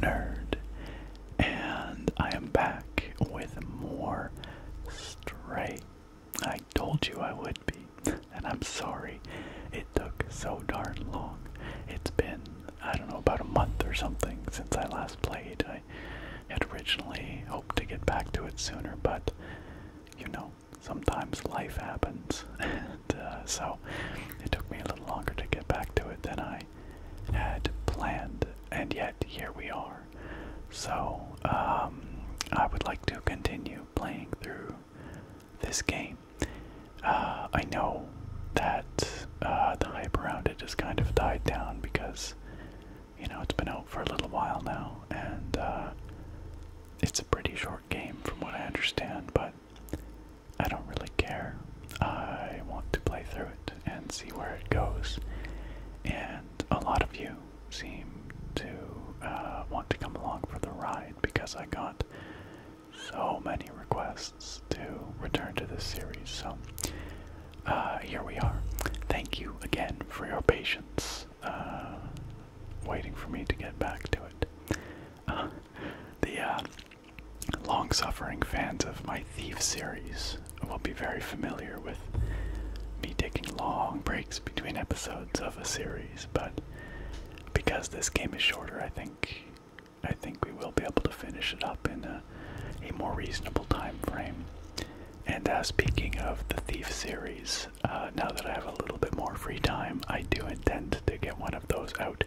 nerd, and I am back with more straight. I told you I would be, and I'm sorry it took so darn long. It's been, I don't know, about a month or something since I last played. I had originally hoped to get back to it sooner, but you know, sometimes life happens, and uh, so it took me a little longer to get back to it than I had planned, and yet here we are. So, um, I would like to continue playing through this game. Uh, I know that uh, the hype around it has kind of died down because, you know, it's been out for a little while now, and uh, it's a pretty short game from what I understand, but I don't really care. I want to play through it and see where it goes. And a lot of you seem to uh, want to come along for the ride because I got so many requests to return to this series. So uh, here we are. Thank you again for your patience, uh, waiting for me to get back to it. the Long suffering fans of my Thief series will be very familiar with me taking long breaks between episodes of a series, but because this game is shorter, I think I think we will be able to finish it up in a, more reasonable time frame. And as uh, speaking of the Thief series, uh, now that I have a little bit more free time, I do intend to get one of those out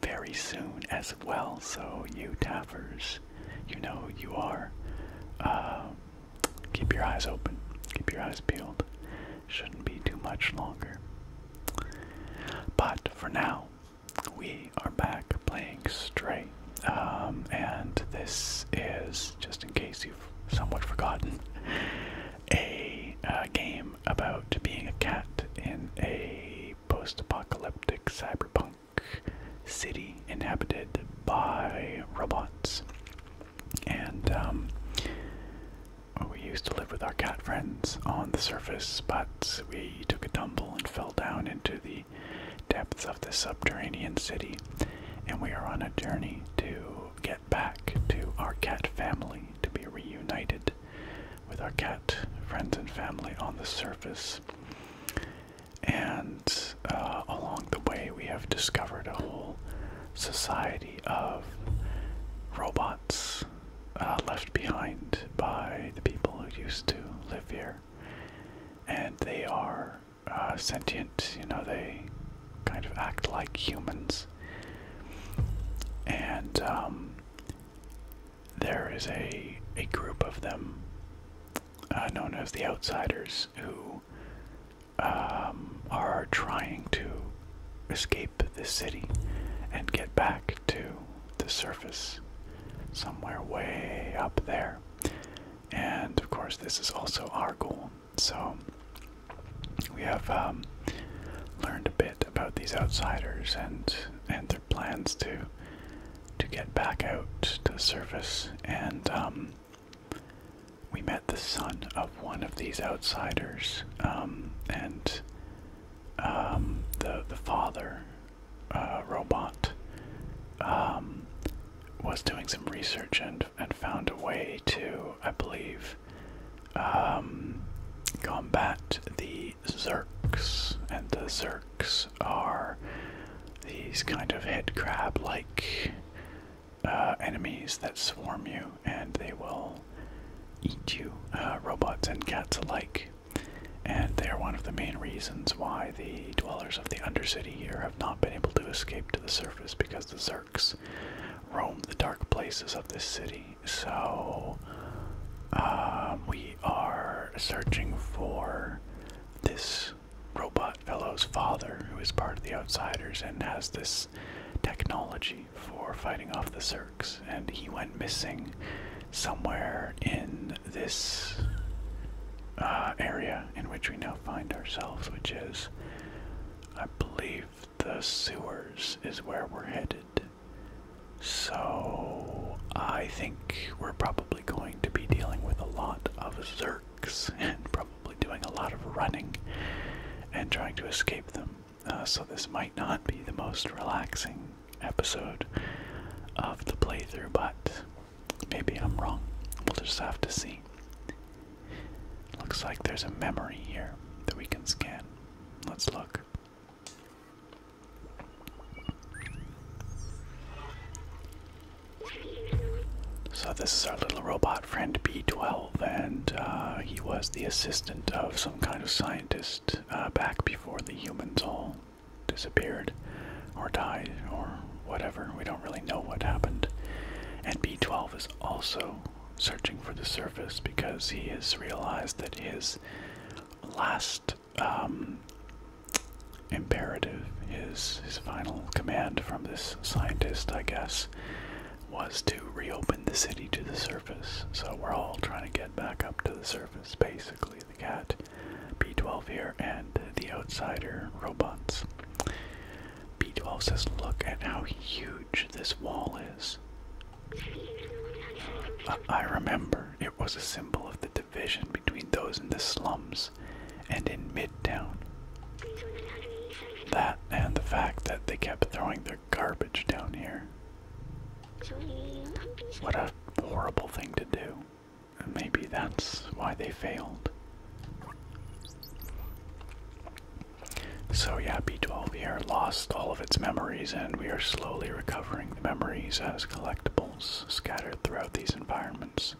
very soon as well. So, you tappers, you know who you are. Um, keep your eyes open, keep your eyes peeled. Shouldn't be too much longer. But for now, we are back playing Stray. Um, and this is, just in case you've somewhat forgotten, a uh, game about being a cat in a post apocalyptic cyberpunk city inhabited by robots. And um, we used to live with our cat friends on the surface, but we took a tumble and fell down into the depths of the subterranean city. And we are on a journey to get back to our cat family, to be reunited with our cat friends and family on the surface. And uh, along the way, we have discovered a whole society of robots uh, left behind by the people who used to live here. And they are uh, sentient, you know, they kind of act like humans. And um, there is a a group of them uh, known as the Outsiders who um, are trying to escape the city and get back to the surface somewhere way up there. And of course, this is also our goal. So we have um, learned a bit about these outsiders and and their plans to to get back out to service, and um, we met the son of one of these outsiders, um, and um, the the father uh, robot was doing some research and and found a way to, I believe, combat the the Zerks, and the Zerks are these kind of head crab like uh, enemies that swarm you and they will eat you, uh, robots and cats alike. And they are one of the main reasons why the dwellers of the Undercity here have not been able to escape to the surface because the Zerks roam the dark places of this city. So um, we we are searching for this robot fellow's father, who is part of the Outsiders and has this technology for fighting off the Zerks. And he went missing somewhere in this uh, area in which we now find ourselves, which is, I believe, the sewers is where we're headed. So I think we're probably going to be dealing with a lot of Zerks and probably doing a lot of running and trying to escape them. Uh, so this might not be the most relaxing episode of the playthrough, but maybe I'm wrong. We'll just have to see. Looks like there's a memory here that we can scan. Let's look. So, this is our little robot friend B12, and uh, he was the assistant of some kind of scientist uh, back before the humans all disappeared or died or whatever. We don't really know what happened. And B12 is also searching for the surface because he has realized that his last um, imperative, his his final command from this scientist, I guess, was to reopen the city to the surface. So we're all trying to get back up to the surface, basically. The cat, B12 here, and the outsider robots. B12 says, "Look at how huge this wall is." Uh, I remember it was a symbol of the division between those in the slums and in Midtown. That and the fact that they kept throwing their garbage down here. What a horrible thing to do. maybe that's why they failed. So yeah, B12 here lost all of its memories and we are slowly recovering the memories as collectibles scattered throughout these environments.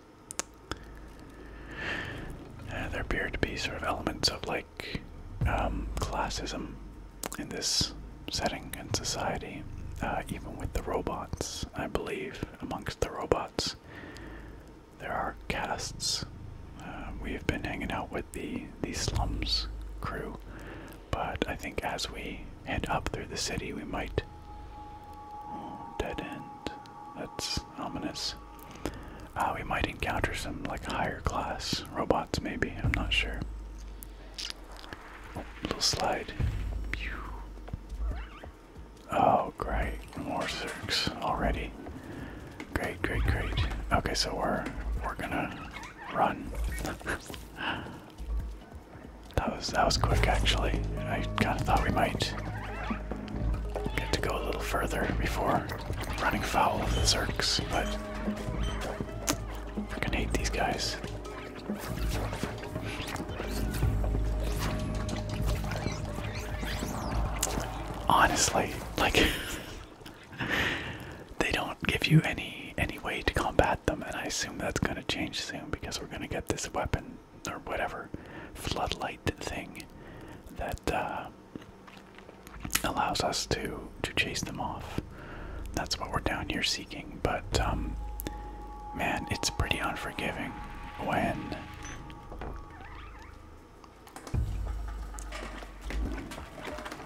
Uh, there appear to be sort of elements of like um, classism in this setting and society, uh, even with the robots. I believe amongst the robots there are castes. Uh, we have been hanging out with the the slums crew but I think as we head up through the city, we might. Oh, dead end. That's ominous. Uh, we might encounter some like higher class robots, maybe. I'm not sure. Oh, little slide. Pew. Oh, great. More zergs already. Great, great, great. Okay, so we're we're gonna run. That was that was quick actually. I kind of thought we might get to go a little further before running foul of the Zerks, but I can hate these guys. Honestly, like they don't give you any any way to combat them, and I assume that's going to change soon because we're going to get this weapon or whatever floodlight thing that uh, allows us to to chase them off. That's what we're down here seeking. But um, man, it's pretty unforgiving when.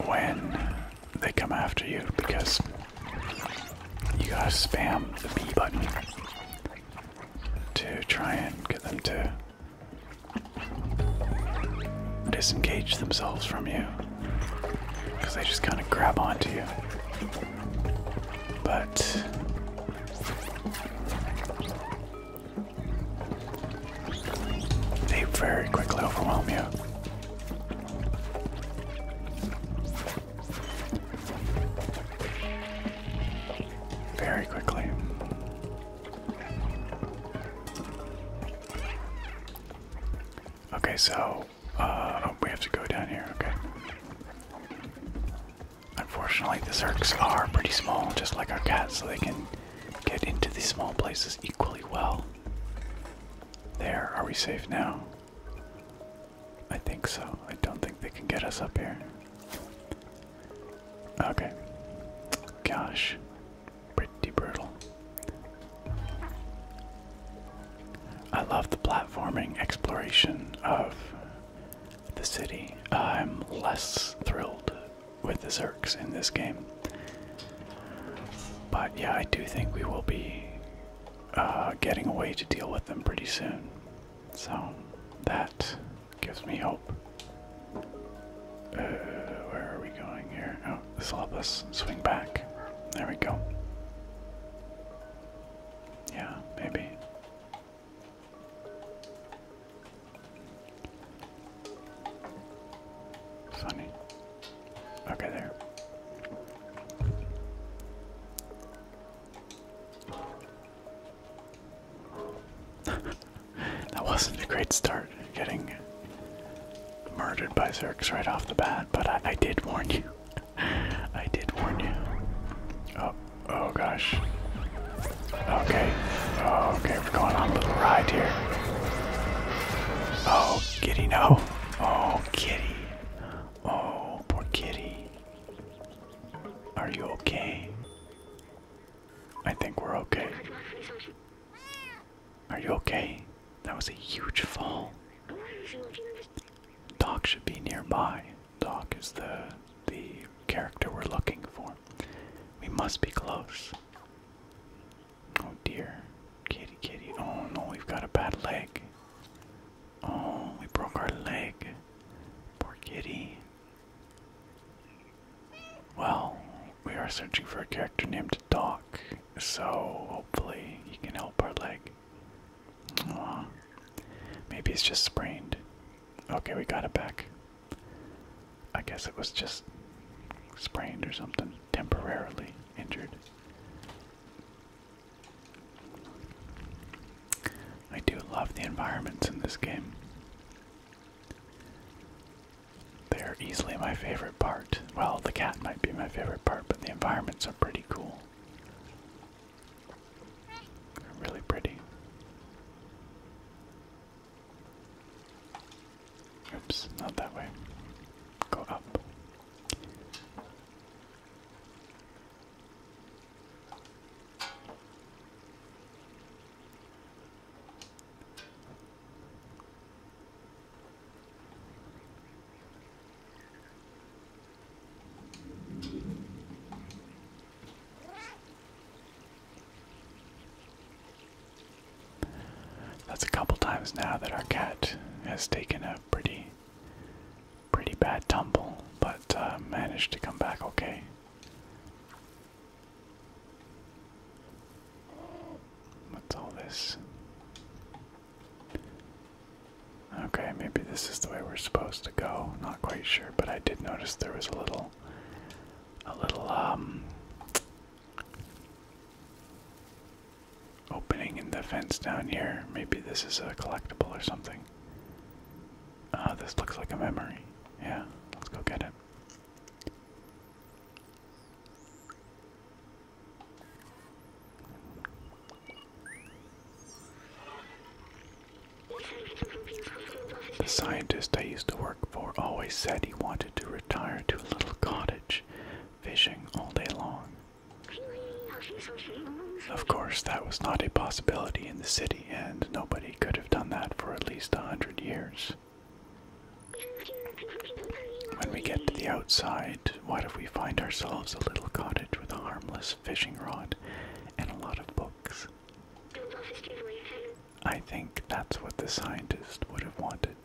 When they come after you because you gotta spam the B button to try and get them to disengage themselves from you because they just kind of grab onto you. But they very quickly overwhelm you very quickly. Okay, so uh, oh, we have to go down here. Okay. Unfortunately, the circs are pretty small, just like our cats, so they can get into these small places equally well. There, are we safe now? I think so. I don't think they can get us up here. Okay. Gosh. Pretty brutal. I love the platforming exploration of the city. I'm less thrilled with the Zerks in this game. But yeah, I do think we will be uh, getting away to deal with them pretty soon. So that gives me hope. Uh, where are we going here? Oh, this will help us swing back. There we go. Yeah, maybe. Funny. Okay, there. that wasn't a great start, getting murdered by Zerks right off the bat, but I, I did warn you. I did warn you. Oh, oh gosh. Okay, oh, okay, we're going on a little ride here. Oh, kitty, no. Oh, kitty. Oh, poor kitty. Are you okay? I think we're okay. Are you okay? That was a huge fall. Doc should be nearby. Doc is the the character we're looking for. We must be close. Oh dear. Kitty, kitty. Oh no, we've got a bad leg. Oh, we broke our leg. Poor kitty. Well, we are searching for a character named Doc, so hopefully he can help our leg. Aww. Maybe it's just sprained. Okay, we got it back. I guess it was just sprained or something, temporarily injured. I do love the environments in this game. They are easily my favorite part. Well, the cat might be my favorite part, but the environments are pretty cool. really pretty. Oops, not that way. Go up. That's a couple times now that our cat has taken a pretty pretty bad tumble, but uh, managed to come back okay. What's all this? Okay, maybe this is the way we're supposed to go. Not quite sure, but I did notice there was a little, a little um, opening in the fence down here. Maybe this is a collectible or something. Ah, this looks like a memory. Yeah, let's go get it. The scientist I used to work for always said he wanted to retire to a little cottage, fishing all day long. Of course, that was not a possibility in the city, and nobody could have done that for at least a hundred years. When we get to the outside, what if we find ourselves a little cottage with a harmless fishing rod and a lot of books? I think that's what the scientist would have wanted.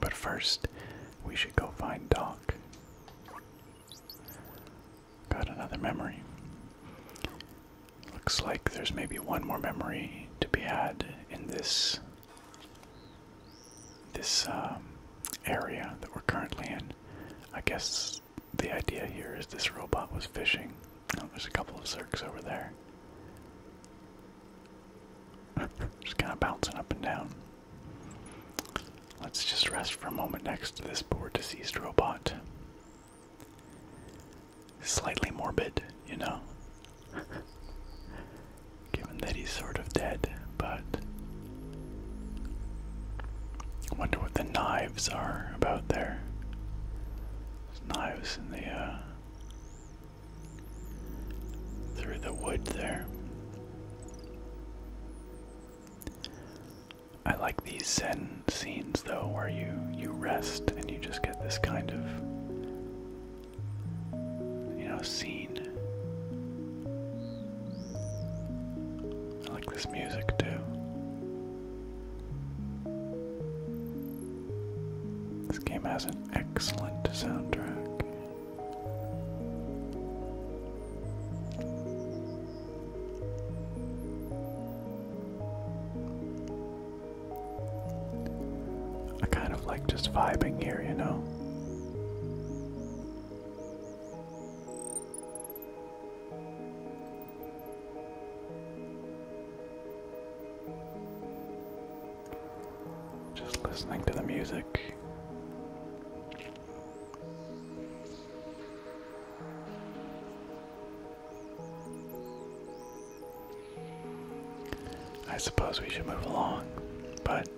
But first, we should go find Doc. Got another memory. Looks like there's maybe one more memory to be had in this this um, area that we're currently in. I guess the idea here is this robot was fishing. Oh, there's a couple of zerks over there. Just kind of bouncing up and down. Let's just rest for a moment next to this poor deceased robot. Slightly morbid, you know? Given that he's sort of dead, but. I wonder what the knives are about there. knives in the, uh, through the wood there. I like these Zen scenes though where you you rest and you just get this kind of you know scene. I like this music too. This game has an excellent soundtrack. I kind of like just vibing here, you know. Just listening to the music. I suppose we should move along, but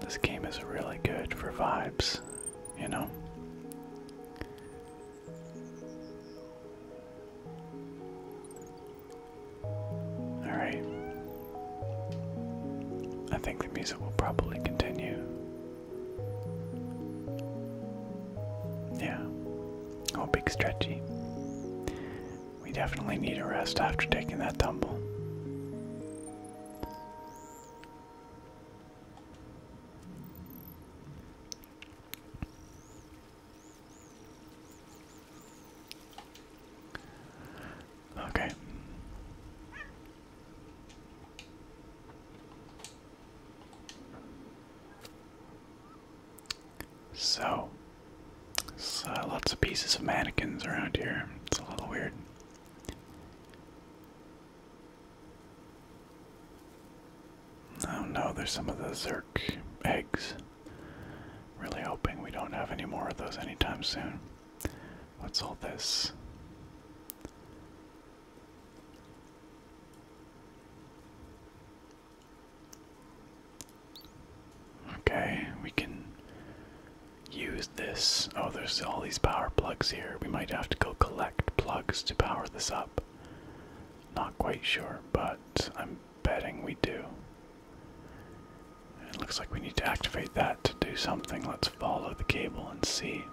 this game is really good for vibes, you know? Alright. I think the music will probably continue. Yeah. Oh, big stretchy. We definitely need a rest after taking that tumble. Okay. So, lots of pieces of mannequins around here. It's a little weird. Oh no, there's some of the Zerk eggs. Really hoping we don't have any more of those anytime soon. What's all this? Okay, we can use this. Oh, there's all these power plugs here. We might have to go collect plugs to power this up. Not quite sure, but I'm betting we do. It looks like we need to activate that to do something. Let's follow the cable and see.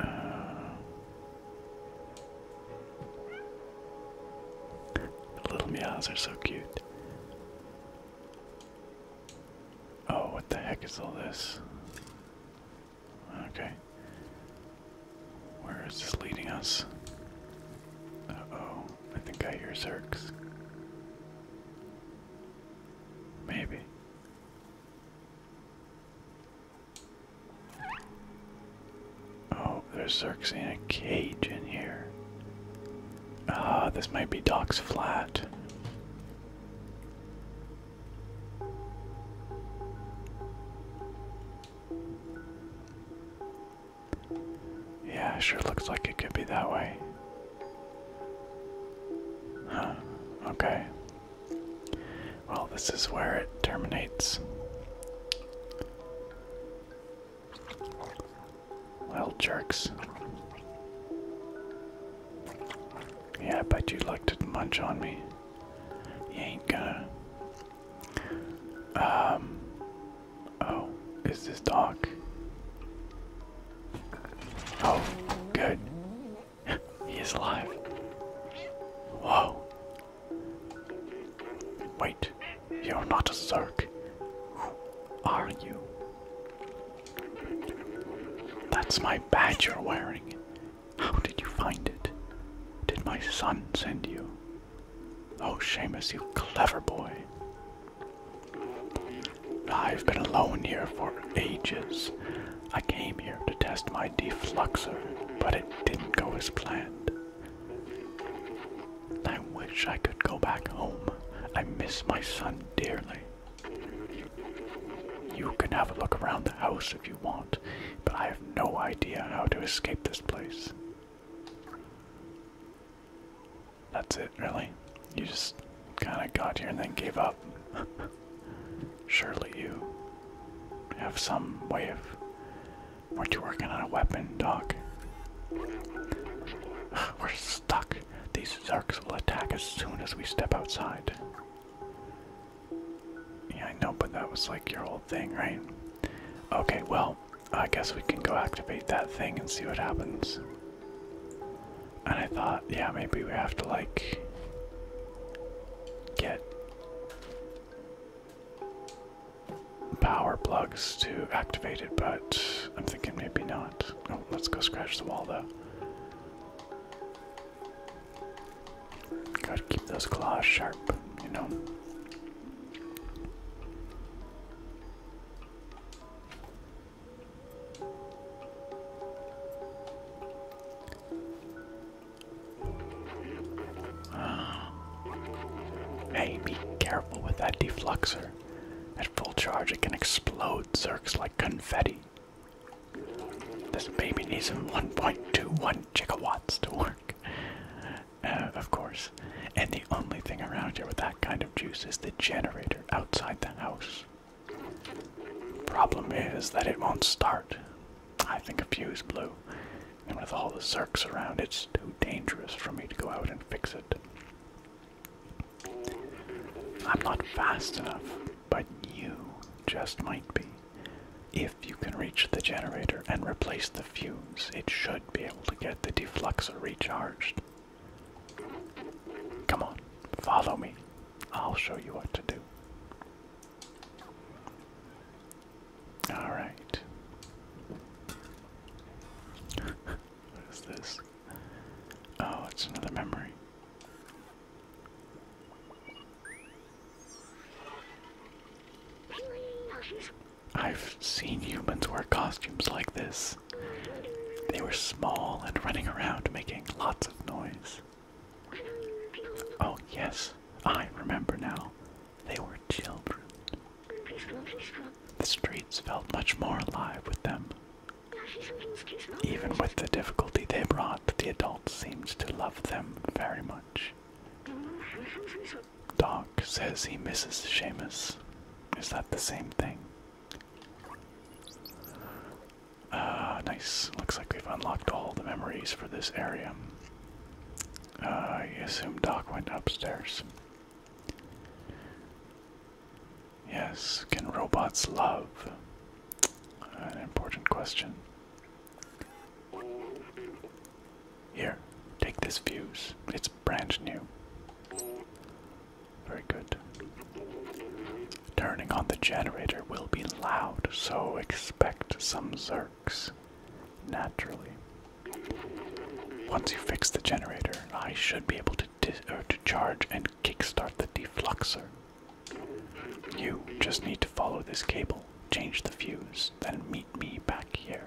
Uh, little meows are so cute. Oh, what the heck is all this? Okay. Where is this leading us? Uh oh, I think I hear Zerks. Maybe. Oh, there's Zerks in a cage in here. Ah, this might be Doc's flat. Yeah, sure looks like it could be that way. Huh, okay. Well, this is where it terminates. Little jerks. Yeah, I bet you'd like to munch on me. You ain't gonna. Um, oh, is this Doc? Oh, good. he is alive. Whoa. Wait, you're not a Zerk. are you? That's my badge you're wearing. How did you find it? Did my son send you? Oh, Seamus, you clever boy. I've been alone here for ages. I came here to test my defluxer, but it didn't go as planned. I wish I could go back home. I miss my son dearly. You can have a look around the house if you want but I have no idea how to escape this place. That's it, really. You just kind of got here and then gave up. Surely you have some way of. Weren't you working on a weapon, Doc? We're stuck. These Zarks will attack as soon as we step outside. Yeah, I know, but that was like your old thing, right? Okay, well, I guess we can go activate that thing and see what happens. And I thought, yeah, maybe we have to like get power plugs to activate it, but I'm thinking maybe not. Oh, let's go scratch the wall though. Gotta keep those claws sharp, you know. hey, be careful with that defluxer. At full charge, it can explode zerks like confetti. This baby needs 1.21 gigawatts to work. Uh, of course. And the only thing around here with that kind of juice is the generator outside the house. Problem is that it won't start. I think a fuse blew. And with all the cirques around, it's too dangerous for me to go out and fix it. I'm not fast enough, but you just might be. If you can reach the generator and replace the fuse, it should be able to get the defluxer recharged. Come on, follow me. I'll show you what to do. Alright. what is this? Oh, it's another memory. I've seen humans wear costumes like this. They were small and running around making lots of noise. Oh, yes, I remember now. They were children. The streets felt much more alive with them. Even with the difficulty they brought, the adults seemed to love them very much. Doc says he misses Seamus. Is that the same thing? Uh, nice. Looks like we've unlocked all the memories for this area. Ah, I assume Doc went upstairs. Yes, can robots love? An important question. Here, take this fuse. It's brand new. Very good. Turning on the generator will be loud, so expect some zirks, Naturally. Once you fix the generator, I should be able to, to charge and kickstart the defluxer. You just need to follow this cable, change the fuse, then meet me back here.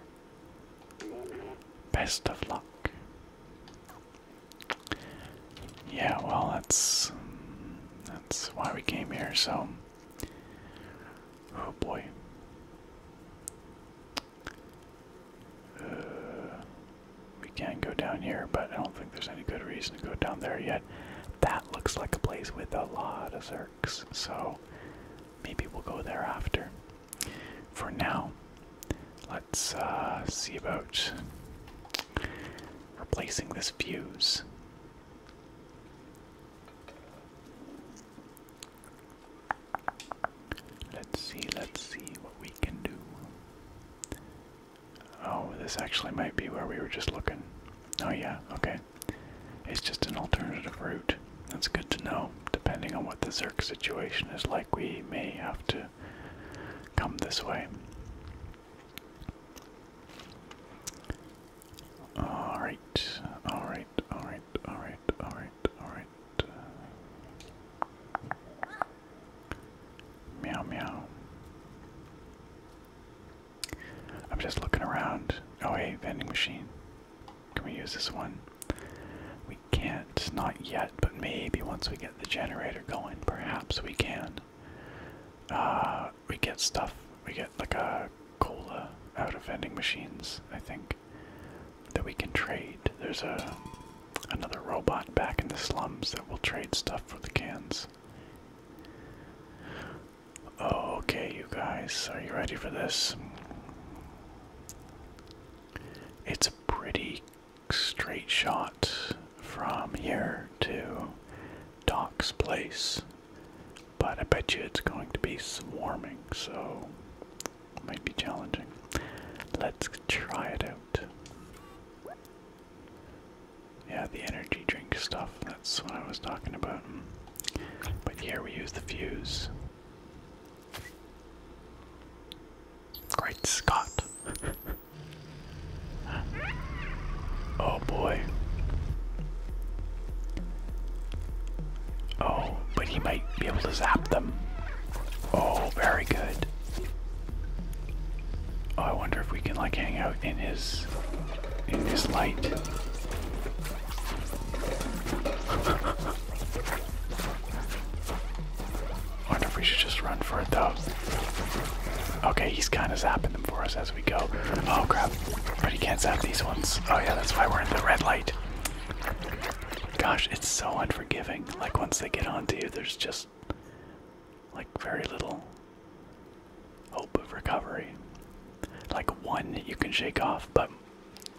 Best of luck. Yeah, well, that's that's why we came here. So, oh boy. Uh, we can not go down here, but I don't think there's any good reason to go down there yet that looks like a place with a lot of zirks, so maybe we'll go there after. For now, let's uh, see about replacing this fuse. Let's see, let's see what we can do. Oh, this actually might be where we were just looking. Oh, yeah, okay. It's just an alternative route. That's good to know. Depending on what the Zerk situation is like, we may have to come this way. Alright, alright, alright, alright, alright, alright. Meow meow. I'm just looking around. Oh, hey, vending machine. Can we use this one? We can't, not yet, but maybe once we get the generator going, perhaps we can. Uh, we get stuff, we get like a cola out of vending machines, I think, that we can trade. There's a another robot back in the slums that will trade stuff for the cans. Oh, okay, you guys, are you ready for this? It's a pretty straight shot from here to Doc's place, but I bet you it's going to be swarming, so it might be challenging. Let's try it out. Yeah, the energy drink stuff, that's what I was talking about. But here we use the fuse. Great Scott! oh boy. Oh, but he might be able to zap them. Oh, very good. Oh, I wonder if we can like hang out in his in his light. I wonder if we should just run for it though. Okay, he's kind of zapping them for us as we go. Oh crap! But he can't zap these ones. Oh yeah, that's why we're in the red light. Gosh, it's so unforgiving. Like once they get onto you, there's just like very little Hope of recovery. Like one you can shake off, but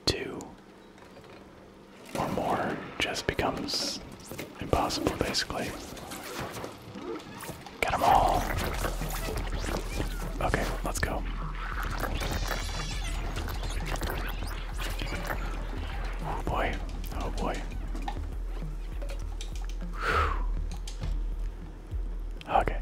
two or more just becomes impossible basically. Got them all. Okay, let's go. Oh boy. Oh boy. Okay.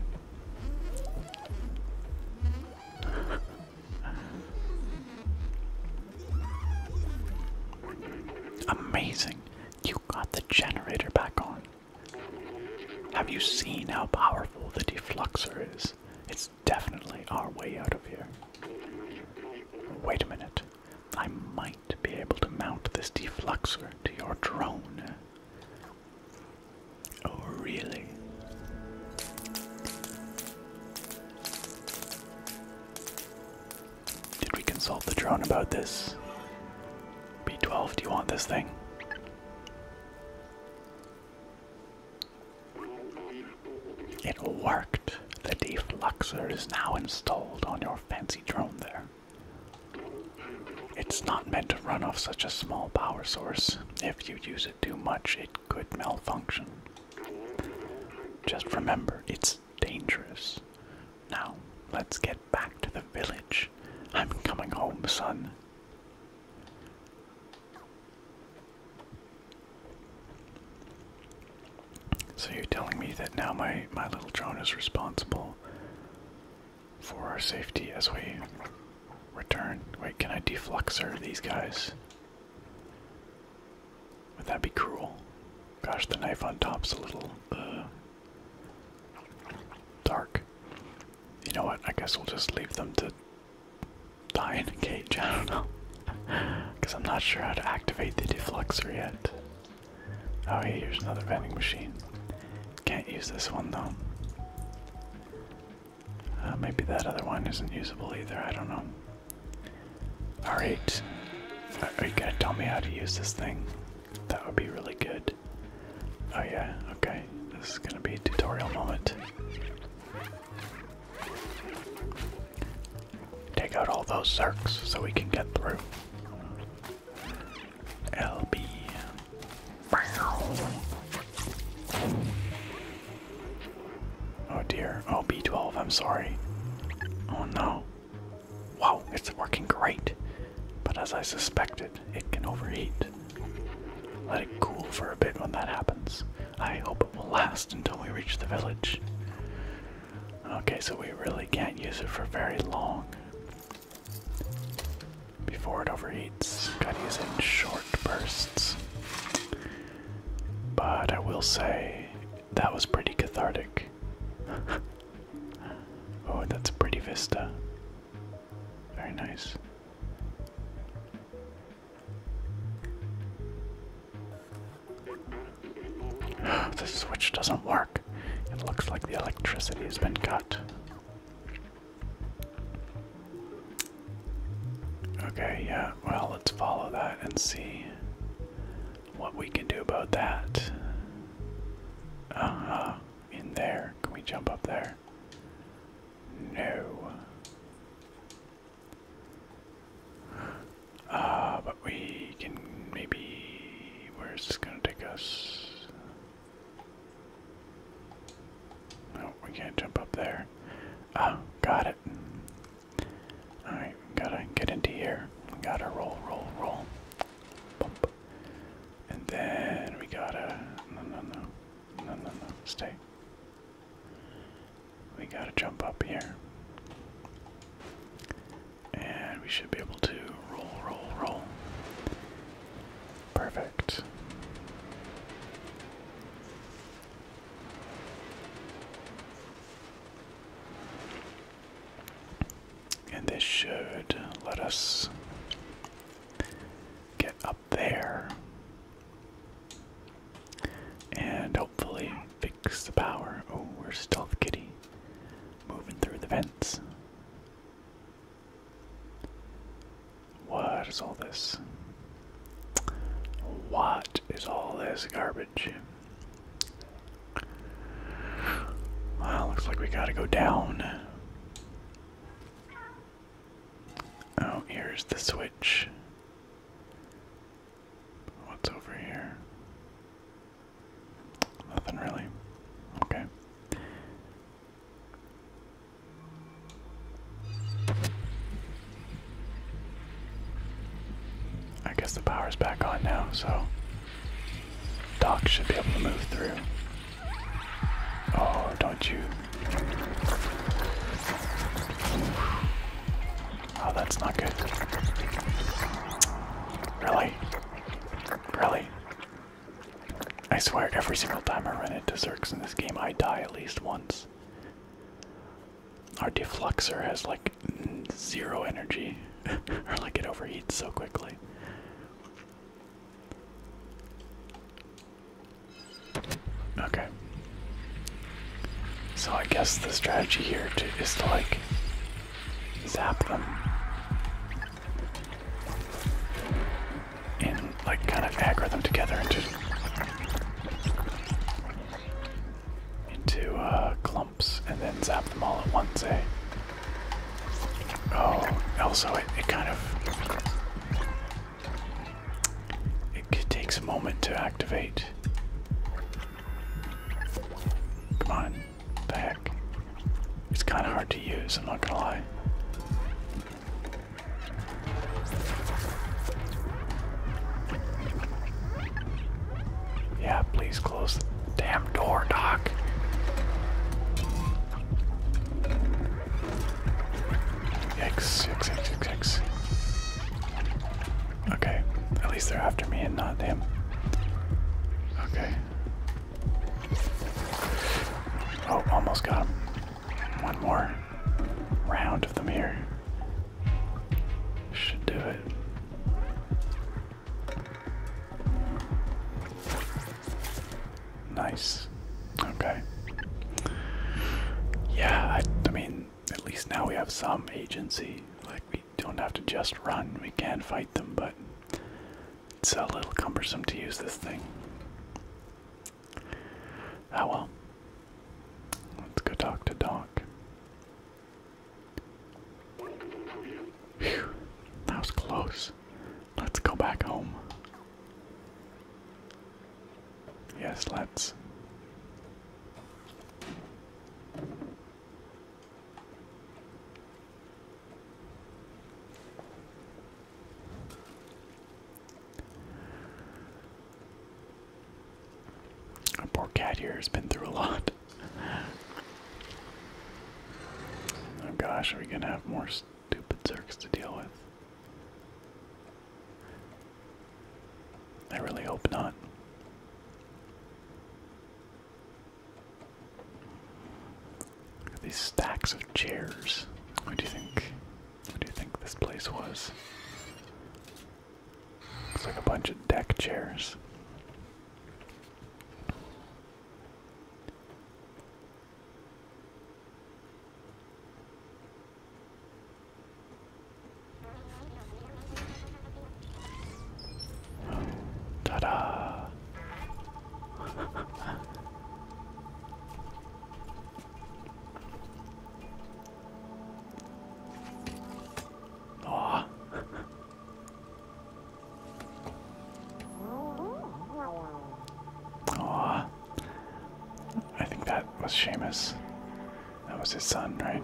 Amazing. You got the generator back on. Have you seen how powerful the defluxer is? It's definitely our way out of here. Wait a minute. I might be able to mount this defluxer to your drone. Oh, really? Did we consult the drone about this? B12, do you want this thing? It worked. The defluxer is now installed on your fancy drone there. It's not meant to run off such a small power source. If you use it too much, it could malfunction. Just remember, it's dangerous. Now, let's get back to the village. I'm coming home, son. So you're telling me that now my, my little drone is responsible for our safety as we return. Wait, can I defluxer these guys? Would that be cruel? Gosh, the knife on top's a little uh, dark. You know what? I guess we'll just leave them to die in a cage. I don't know. Because I'm not sure how to activate the defluxer yet. Oh, hey, here's another vending machine. Can't use this one though. Uh, maybe that other one isn't usable either. I don't know. Alright. Uh, are you gonna tell me how to use this thing? That would be really good. Oh, yeah, okay. This is gonna be a tutorial moment. Take out all those zerks so we can get through. LB. Oh dear. Oh, B12, I'm sorry. Oh no. Wow, it's working great. But as I suspected, it can overheat. Let it cool for a bit when that happens. I hope it will last until we reach the village. Okay, so we really can't use it for very long. Before it overheats, gotta use in short bursts. But I will say, that was pretty cathartic. oh, that's a pretty vista. Very nice. the switch doesn't work. It looks like the electricity has been cut. Okay, yeah, well, let's follow that and see what we can do about that. Uh-huh, in there. Can we jump up there? No. Uh, but we can maybe. Where's this gonna take us? No, we can't jump up there. Oh, got it. Alright, gotta get into here. Gotta roll, roll, roll. Bump. And then we gotta. No, no, no. No, no, no. Stay. We gotta jump up here. And we should be able to roll, roll, roll. Perfect. And this should let us get up there and hopefully fix the power. Oh, we're stealth kitty moving through the vents. What is all this? What is all this garbage? Well, looks like we gotta go down. Oh, here's the switch. What's over here? Nothing really. Okay. I guess the power's back on now, so Doc should be able to move through. Oh, don't you? Oh, that's not good. Really? Really? I swear, every single time I run into Zerks in this game, I die at least once. Our defluxer has like zero energy, or like it overheats so quickly. Okay. So I guess the strategy here is to, to like zap them and like kind of aggro them together into into uh, clumps and then zap them all at once, eh? Oh, also it, it kind of it takes a moment to activate. Come on. What the heck? It's kind of hard to use, I'm not gonna lie. Yeah, please close the damn door, Doc. Yikes, yikes, yikes, yikes, yikes. Okay, at least they're after me and not him. Okay, Oh, almost got him. One more round of them here. Should do it. Nice. Okay. Yeah, I, mean, at least now we have some agency. Like, we don't have to just run. We can fight them, but it's a little cumbersome to use this thing. Ah well. Let's go talk to Doc. Phew, that was close. Let's go back home. Yes, let's. Our poor cat here has been through a lot. Oh gosh, are we gonna have more stupid zerks to deal with? I really hope not. These stacks of chairs. What do you think? What do you think this place was? Looks like a bunch of deck chairs. ta-da! oh. oh. I think that was Seamus. That was his son, right?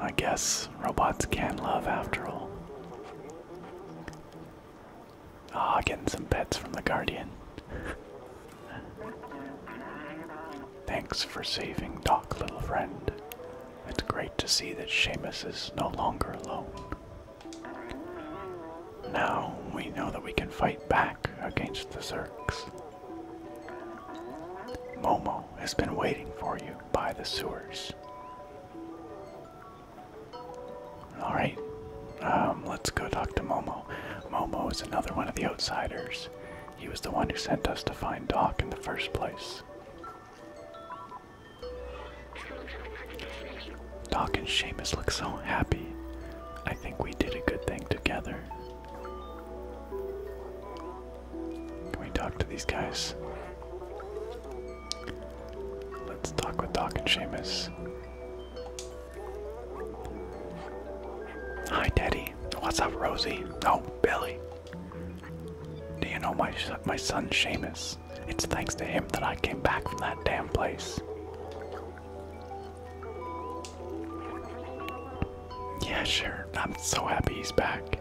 I guess robots can love after all. Ah, getting some pets from the Guardian. Thanks for saving Doc, little friend. It's great to see that Seamus is no longer alone. Now we know that we can fight back against the Zerks. Momo has been waiting for you by the sewers. Alright, um, let's go talk to Momo. Momo is another one of the outsiders. He was the one who sent us to find Doc in the first place. Doc and Seamus look so happy. I think we did a good thing together. Can we talk to these guys? Let's talk with Doc and Seamus. Hi, Daddy. What's up, Rosie? Oh, Billy. Do you know my my son Seamus? It's thanks to him that I came back from that damn place. Yeah, sure. I'm so happy he's back.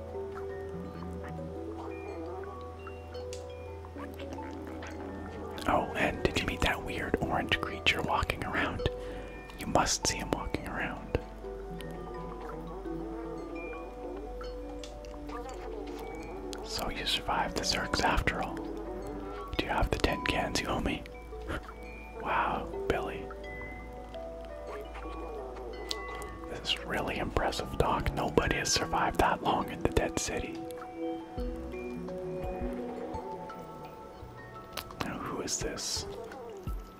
Oh, and did you meet that weird orange creature walking around? You must see him walking around. So you survived the Zerks after all. Do you have the ten cans you owe me? wow, Billy. This is really impressive, Doc. Nobody has survived that long in the Dead City. Now, who is this?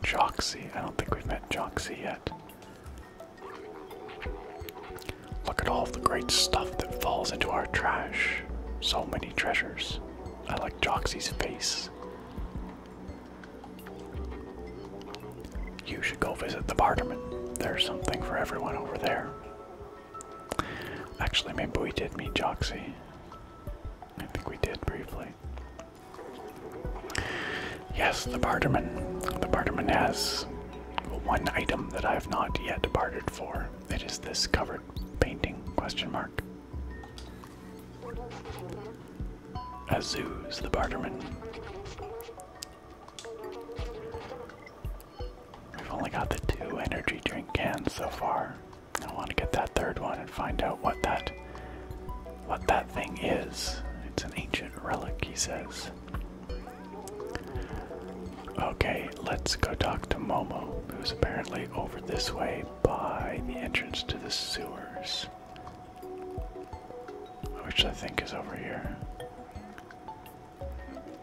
Joxy. I don't think we've met Joxy yet. Look at all the great stuff that falls into our trash. So many treasures. I like Joxy's face. You should go visit the Barterman. There's something for everyone over there. Actually, maybe we did meet Joxy. I think we did briefly. Yes, the Barterman. The Barterman has one item that I have not yet departed for. It is this covered painting question mark. Azuz the Barterman. We've only got the two energy drink cans so far. I want to get that third one and find out what that what that thing is. It's an ancient relic, he says. Okay, let's go talk to Momo, who's apparently over this way by the entrance to the sewers. Which I think is over here.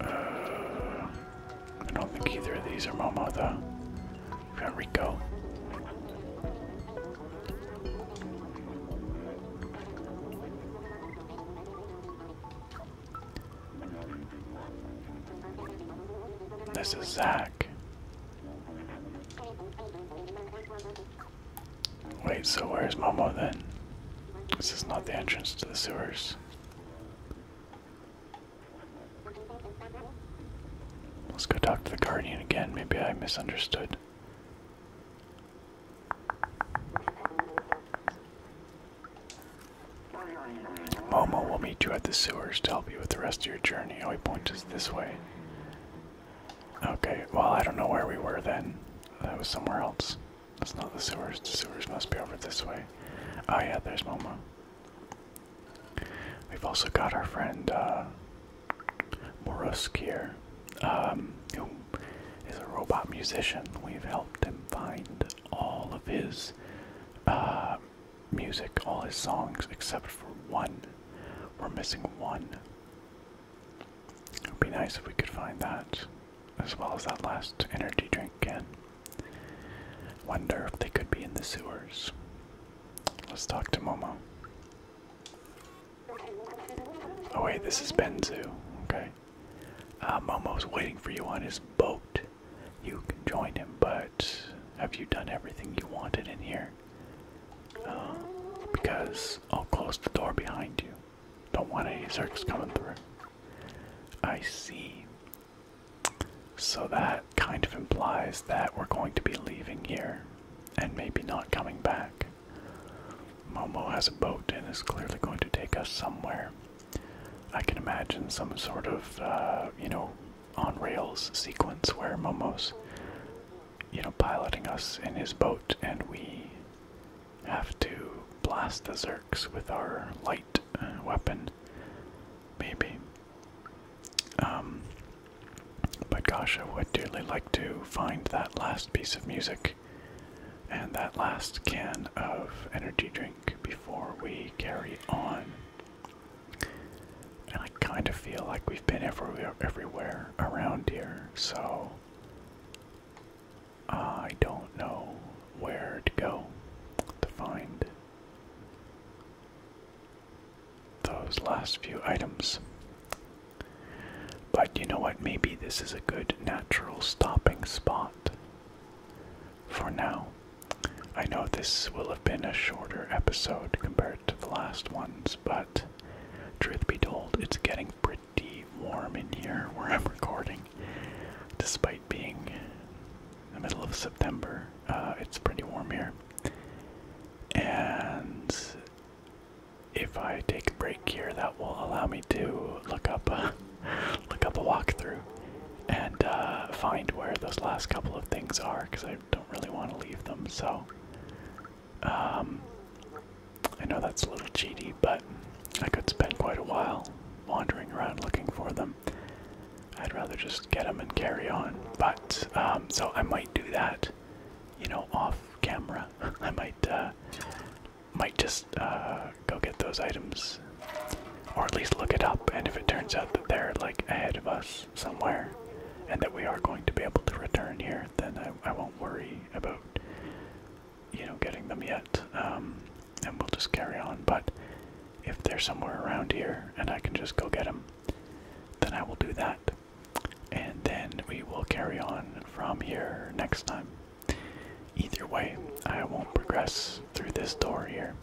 Uh, I don't think either of these are Momo though. We've got Rico. This is Zach. Wait, so where's Momo then? This is not the entrance to the sewers. Let's go talk to the Guardian again. Maybe I misunderstood. Momo will meet you at the sewers to help you with the rest of your journey. Oh, he points us this way. Okay, well, I don't know where we were then. That was somewhere else. That's not the sewers. The sewers must be over this way. Oh yeah, there's Momo. We've also got our friend uh, here, um, a robot musician. We've helped him find all of his uh, music, all his songs, except for one. We're missing one. It would be nice if we could find that, as well as that last energy drink can. Wonder if they could be in the sewers. Let's talk to Momo. Oh wait, this is Benzu. Okay. Uh, Momo's waiting for you on his boat. You can join him, but have you done everything you wanted in here? Uh, because I'll oh, close the door behind you. Don't want any zerks coming through. I see. So that kind of implies that we're going to be leaving here and maybe not coming back. Momo has a boat and is clearly going to take us somewhere. I can imagine some sort of, uh, you know, on rails sequence where Momo's, you know, piloting us in his boat and we have to blast the Zerks with our light uh, weapon. Maybe. Um, but gosh, I would dearly like to find that last piece of music and that last can of energy drink before we carry on. And I kind of feel like we've been everywhere, everywhere around here, so I don't know where to go to find those last few items. But you know what? Maybe this is a good natural stopping spot for now. I know this will have been a shorter episode compared to the last ones, but truth be told, it's getting pretty warm in here where I'm recording. Despite being in the middle of September, uh, it's pretty warm here. And if I take a break here, that will allow me to look up uh, a, look up a walkthrough and uh, find where those last couple of things are because I don't really want to leave them. So um, I know that's a little cheaty, but I could spend quite a while wandering around looking for them. I'd rather just get them and carry on. But um, so I might do that, you know, off camera. I might uh, might just uh, go get those items, or at least look it up. And if it turns out that they're like ahead of us somewhere, and that we are going to be able to return here, then I, I won't worry about you know, getting them yet. Um, and we'll just carry on. But if they're somewhere around here and I can just go get them, then I will do that. And then we will carry on from here next time. Either way, I won't progress through this door here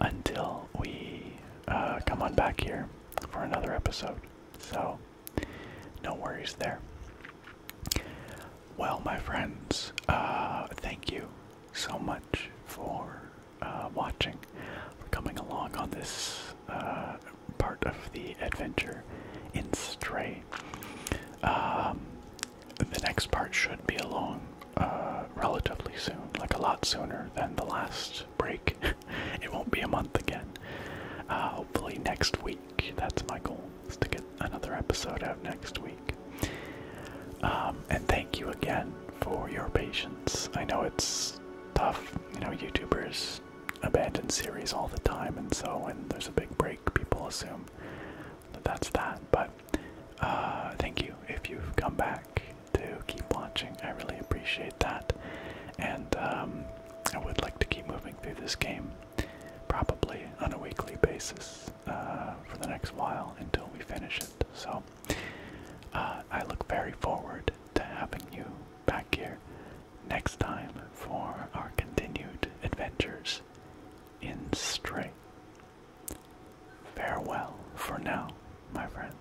until we uh, come on back here for another episode. So no worries there. Well, my friends, uh, thank you so much for uh, watching, for coming along on this uh, part of the adventure in Stray. Um, the next part should be along relatively soon, like a lot sooner than the last break. it won't be a month again. hopefully next week that's my goal, is to get another episode out next week. Um, and thank you again for your patience. I know it's tough, you know, YouTubers abandon series all the time, and so when there's a big break, people assume that that's that. But uh, thank you if you've come back to keep watching. I really appreciate that. And um, I would like to keep moving through this game probably on a weekly basis uh, for the next while until we finish it. So uh, I look very forward to having you back here next time for our continued adventures in Stray. Farewell for now, my friends.